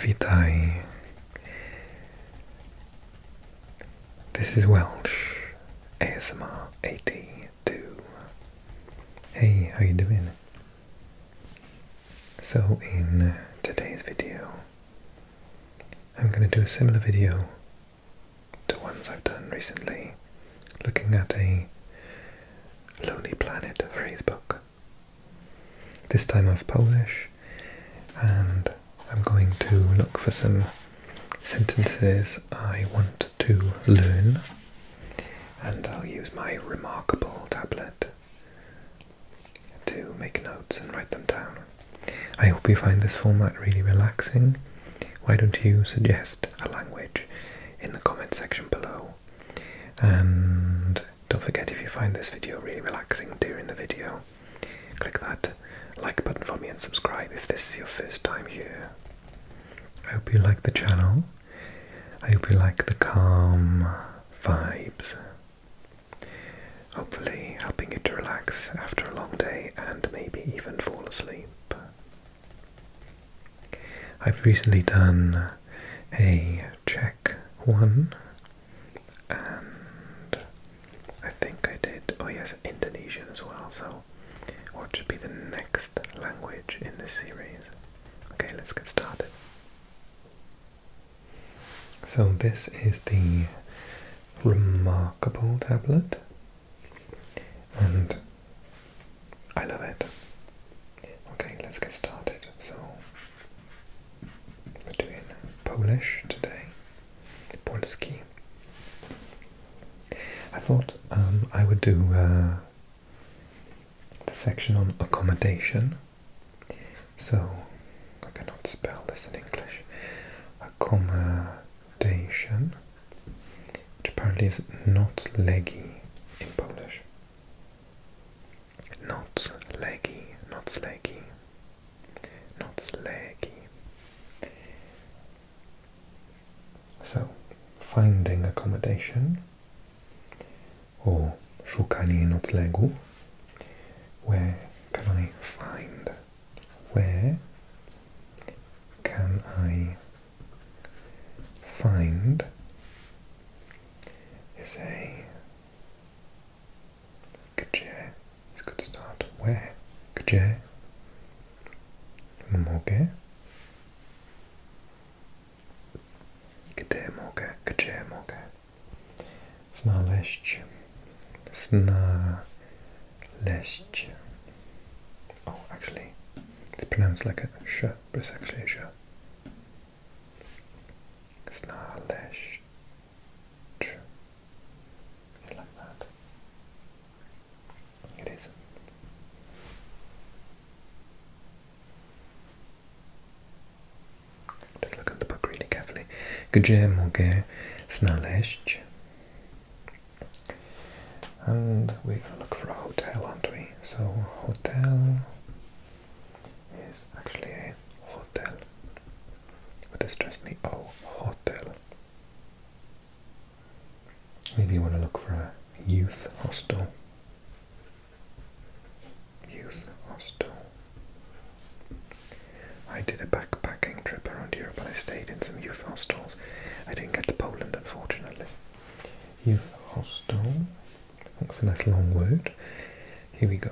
Vitae. This is Welsh ASMR 82. Hey, how you doing? So in uh, today's video, I'm going to do a similar video to ones I've done recently, looking at a Lonely Planet phrasebook. This time I've Polish, and I'm going to look for some sentences I want to learn, and I'll use my remarkable tablet to make notes and write them down. I hope you find this format really relaxing. Why don't you suggest a language in the comment section below? And don't forget if you find this video really relaxing during the video, click that like button for me and subscribe if this is your first time here. I hope you like the channel. I hope you like the calm vibes. Hopefully, helping you to relax after a long day and maybe even fall asleep. I've recently done a Czech one, and I think I did, oh yes, Indonesian as well, so what should be the next language in this series? Okay, let's get started. So this is the remarkable tablet, and I love it. Okay, let's get started. So, we're doing Polish today. Polski. I thought um, I would do uh, the section on accommodation. So, I cannot spell this in English. Accommodation which apparently is not leggy in Polish. Not leggy, not slaggy, not slaggy. So, finding accommodation or szukanie noclegu. Where can I find? Where can I find is a good start. Where? Gdzie? Mogę? Gdzie mogę? Gdzie mogę? Znaleźć. Znaleźć. Oh, actually, it's pronounced like a sh press Aklesia. Znaleźć. It's like that. It Just look at the book really carefully. Gdzie mogę znaleźć and we're gonna look for a hotel, entry. So hotel is actually a hotel with a stress on the O hotel. Maybe you want to look for a youth hostel. Youth hostel. I did a backpacking trip around Europe and I stayed in some youth hostels. I didn't get to Poland unfortunately youth hostel. That's a nice long word. Here we go.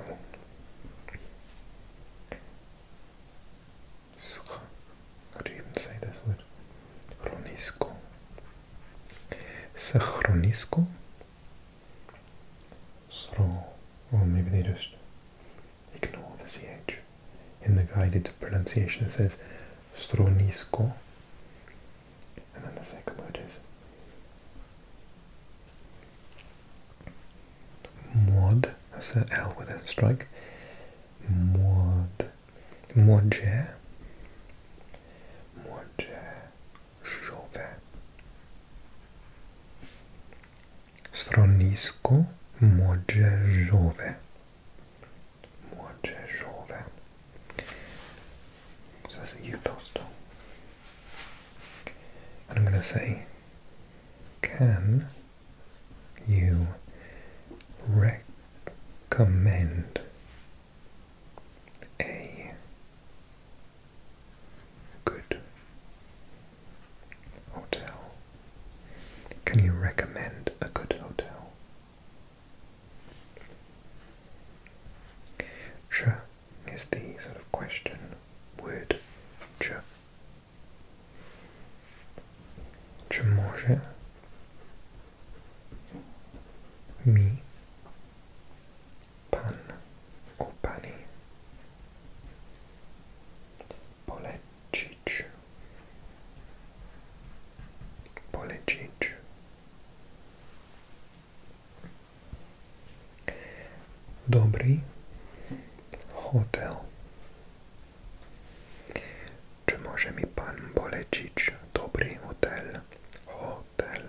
How do you even say this word? Ronisco. Sachronisco? Sro. Or oh, maybe they just ignore the ch. In the guided pronunciation it says Stronisco and then the second word is mod. That's the L with a strike. Mod, modje, modje, żowe. Stronisko modjeżowe młodszy That's says you toast. And I'm going to say, can you recommend a good hotel? Can you recommend a good hotel? Ch is the sort of question word ch. Czy może mi pan or pani polecić? Dobrý hotel. Čo môže mi pán Bolečič? Dobrý hotel. Hotel.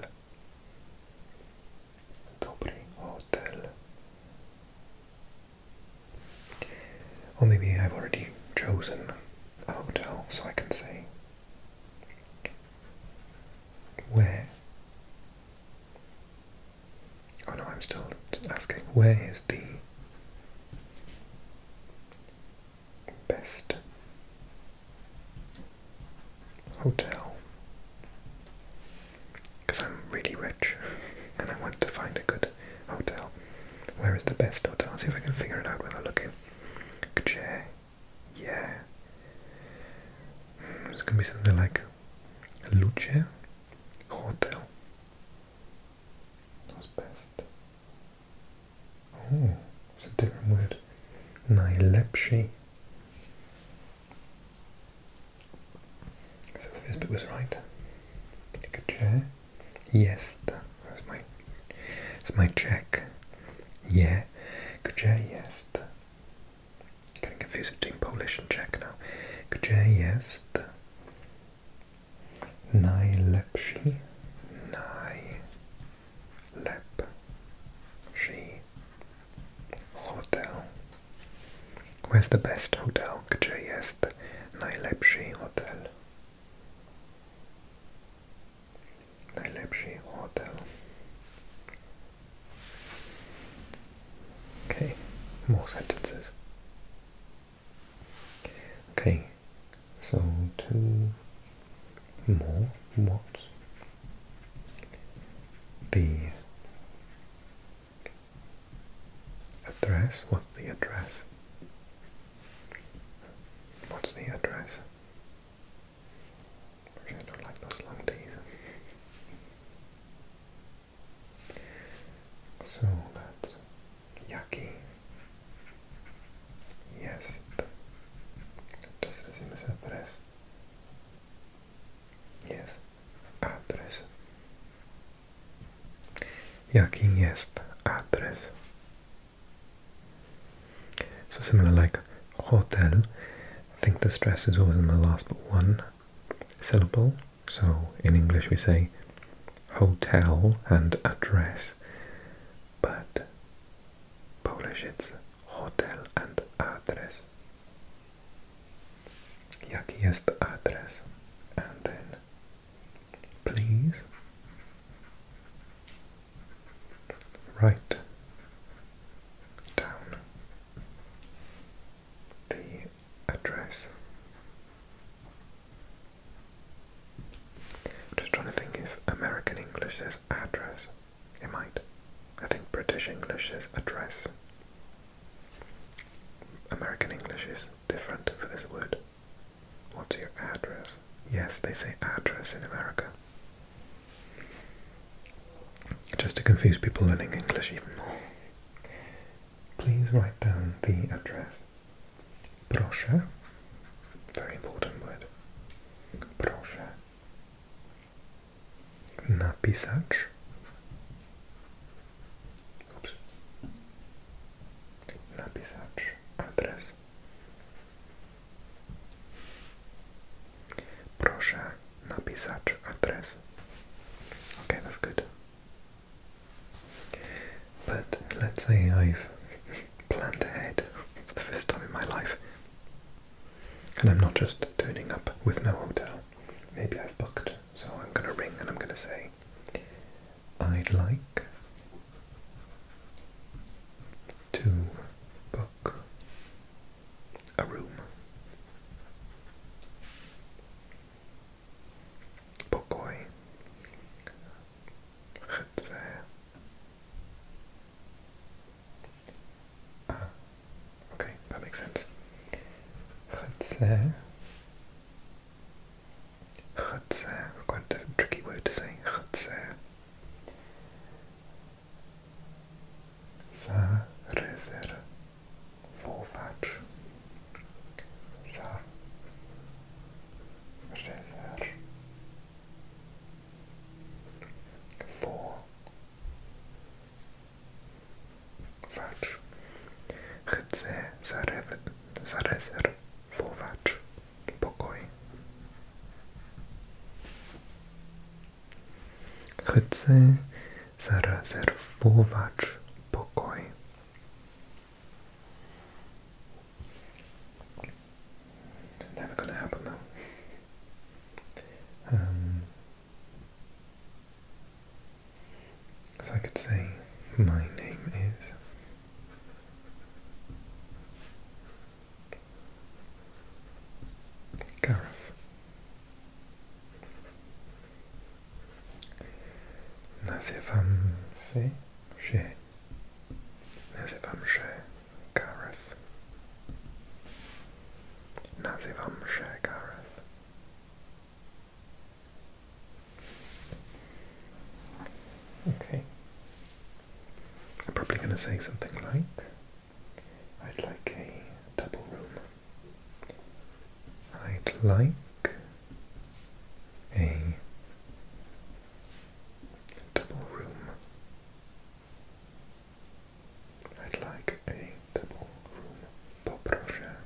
Dobrý hotel. Or maybe I've already chosen. hotel so I can say where. Oh no, I'm still asking where is the best hotel? Because I'm really rich and I want to find a good hotel. Where is the best hotel? I'll see if I can figure it out when I look in. Gdzie? Yeah. It's gonna be something like Luce Hotel. That's best. Oh, it's a different word. Najlepszy. So this bit was right. Gdzie? Yes, that's my, it's my Czech. Yeah, gdzie jest? Getting confused Polish and Czech now. Gdzie jest Najlepszy hotel. Where's the best hotel? Gdzie jest najlepszy hotel? Najlepszy hotel. Okay, more sentences. Okay, so two more words. The address, what's the address? What's the address? Actually, I don't like those long teas. so that's Yaki. Yes. Entonces decimos address. Yes. Address. Jaki jest adres? So similar like hotel, I think the stress is always in the last but one syllable. So in English we say hotel and address, but Polish it's hotel and address. Jaki jest adres? And then please. Write down the address. I'm just trying to think if American English is address. It might. I think British English is address. American English is different for this word. What's your address? Yes, they say address in America. Just to confuse people learning English even more. Please write down the address. Proszę. Very important word. Proszę. Napisać. Oops napisać address. Proszę napisać adres. Okay, that's good. But let's say I've planned ahead for the first time in my life. And I'm not just turning up with no hotel. Maybe I've booked, so I'm gonna ring and I'm gonna say, I'd like to book a room. Pokój. Chcę. Ah, okay, that makes sense. Chcę Chutzer, eh, quite a tricky word to say, chutzer. Zarezerwować. Zarezerwować. Chcę zarezerwować. Chowacz pokoi. Chcę zarezerwować pokój. Never gonna happen now. Um, so I could say my name is Gareth. Nazywam się, że. Nazywam się Gareth. Nazywam się Gareth. Okay. I'm probably going to say something like, I'd like a double room. I'd like a double room. I'd like a double room. Poproszę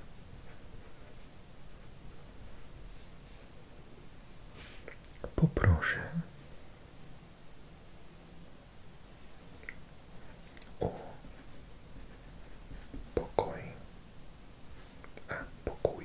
Poproszę o pokój, a pokój.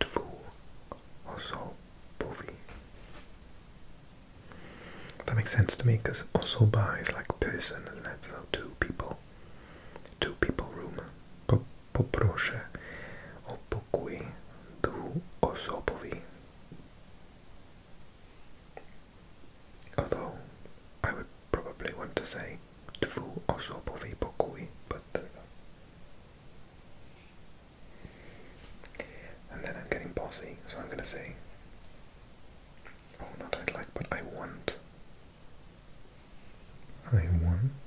Tlu also That makes sense to me because Osoba is like person, isn't it? So two people, two people room. Poproszę o pokój dwuosobowy although I would probably want to say dwu osobowy pokój, but there we And then I'm getting bossy, so I'm gonna say, oh, not I'd like, but I want. I want.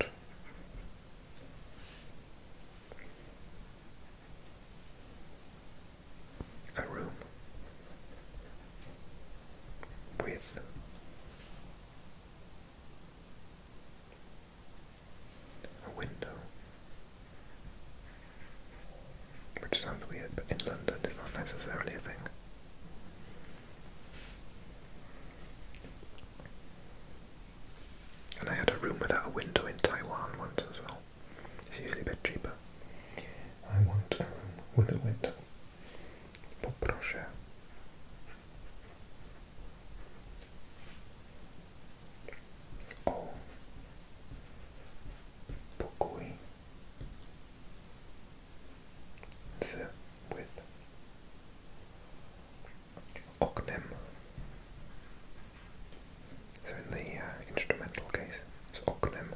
A room with a window. Which sounds weird, but in London it's not necessarily a thing. And I had a room without a window in Taiwan once as well. It's usually a bit cheaper. I want with a window. Poproszę. O pokój with oknem. So in the uh, instrumental case, it's oknem.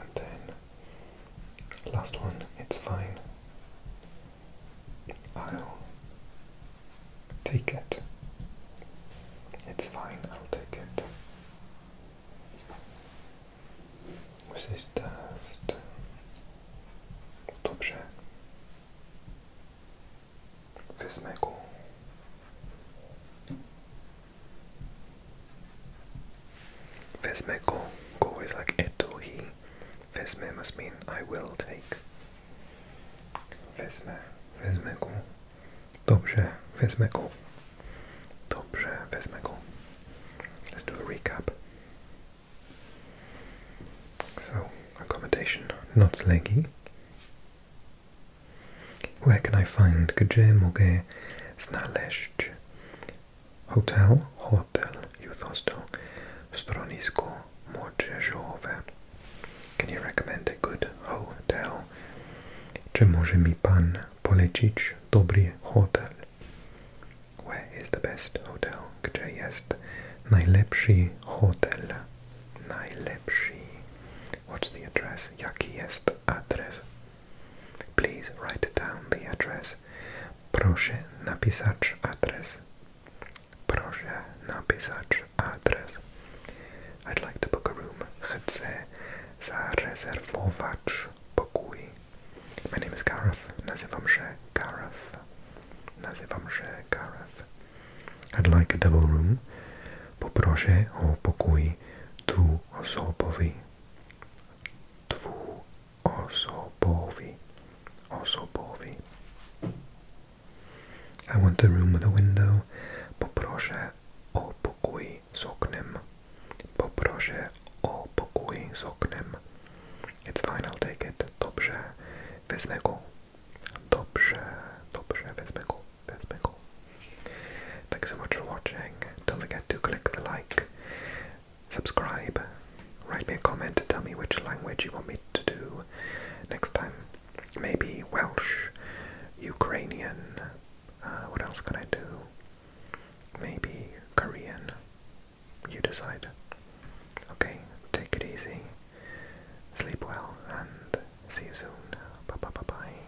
and then last one, it's fine. I'll take it. It's fine, I'll take it. This is dust. Dobrze. Wezmę Vesme ko Go is like eto he. Vesme must mean I will take. Vesme. Vesme go. Dobrze. Vesme go. Dobrze. Vesme ko Let's do a recap. So, accommodation. Noclegi. Where can I find? kajem mogę znaleźć? hotel, hotel, youth hostel, stronisko młodzieżowe. Can you recommend a good hotel? Czy może mi pan polecić dobry hotel? Where is the best hotel? Gdzie jest najlepszy hotel? Najlepszy. What's the address? Jaki jest adres? Please write down the address. Proszę napisać adres. Proszę napisać adres. I'd like to book a room. Chcę zarezerwować pokój. My name is Gareth. Nazywam się Gareth. Nazywam się Gareth. I'd like a double room. Poproszę o pokój dwuosobowy dvů osobovi. Osobovi. I want the room with a window. Poproszę o pokój z oknem. Poproszę o pokój z oknem. It's fine, I'll take it. Dobrze, wezmę go. Dobrze, dobrze, wezmę go, wezmę Thanks so much for watching. Don't forget to click the like Subscribe, write me a comment, tell me which language you want me to do next time. Maybe Welsh, Ukrainian, uh, what else can I do? Maybe Korean. You decide. Okay, take it easy, sleep well, and see you soon. Bye bye bye bye.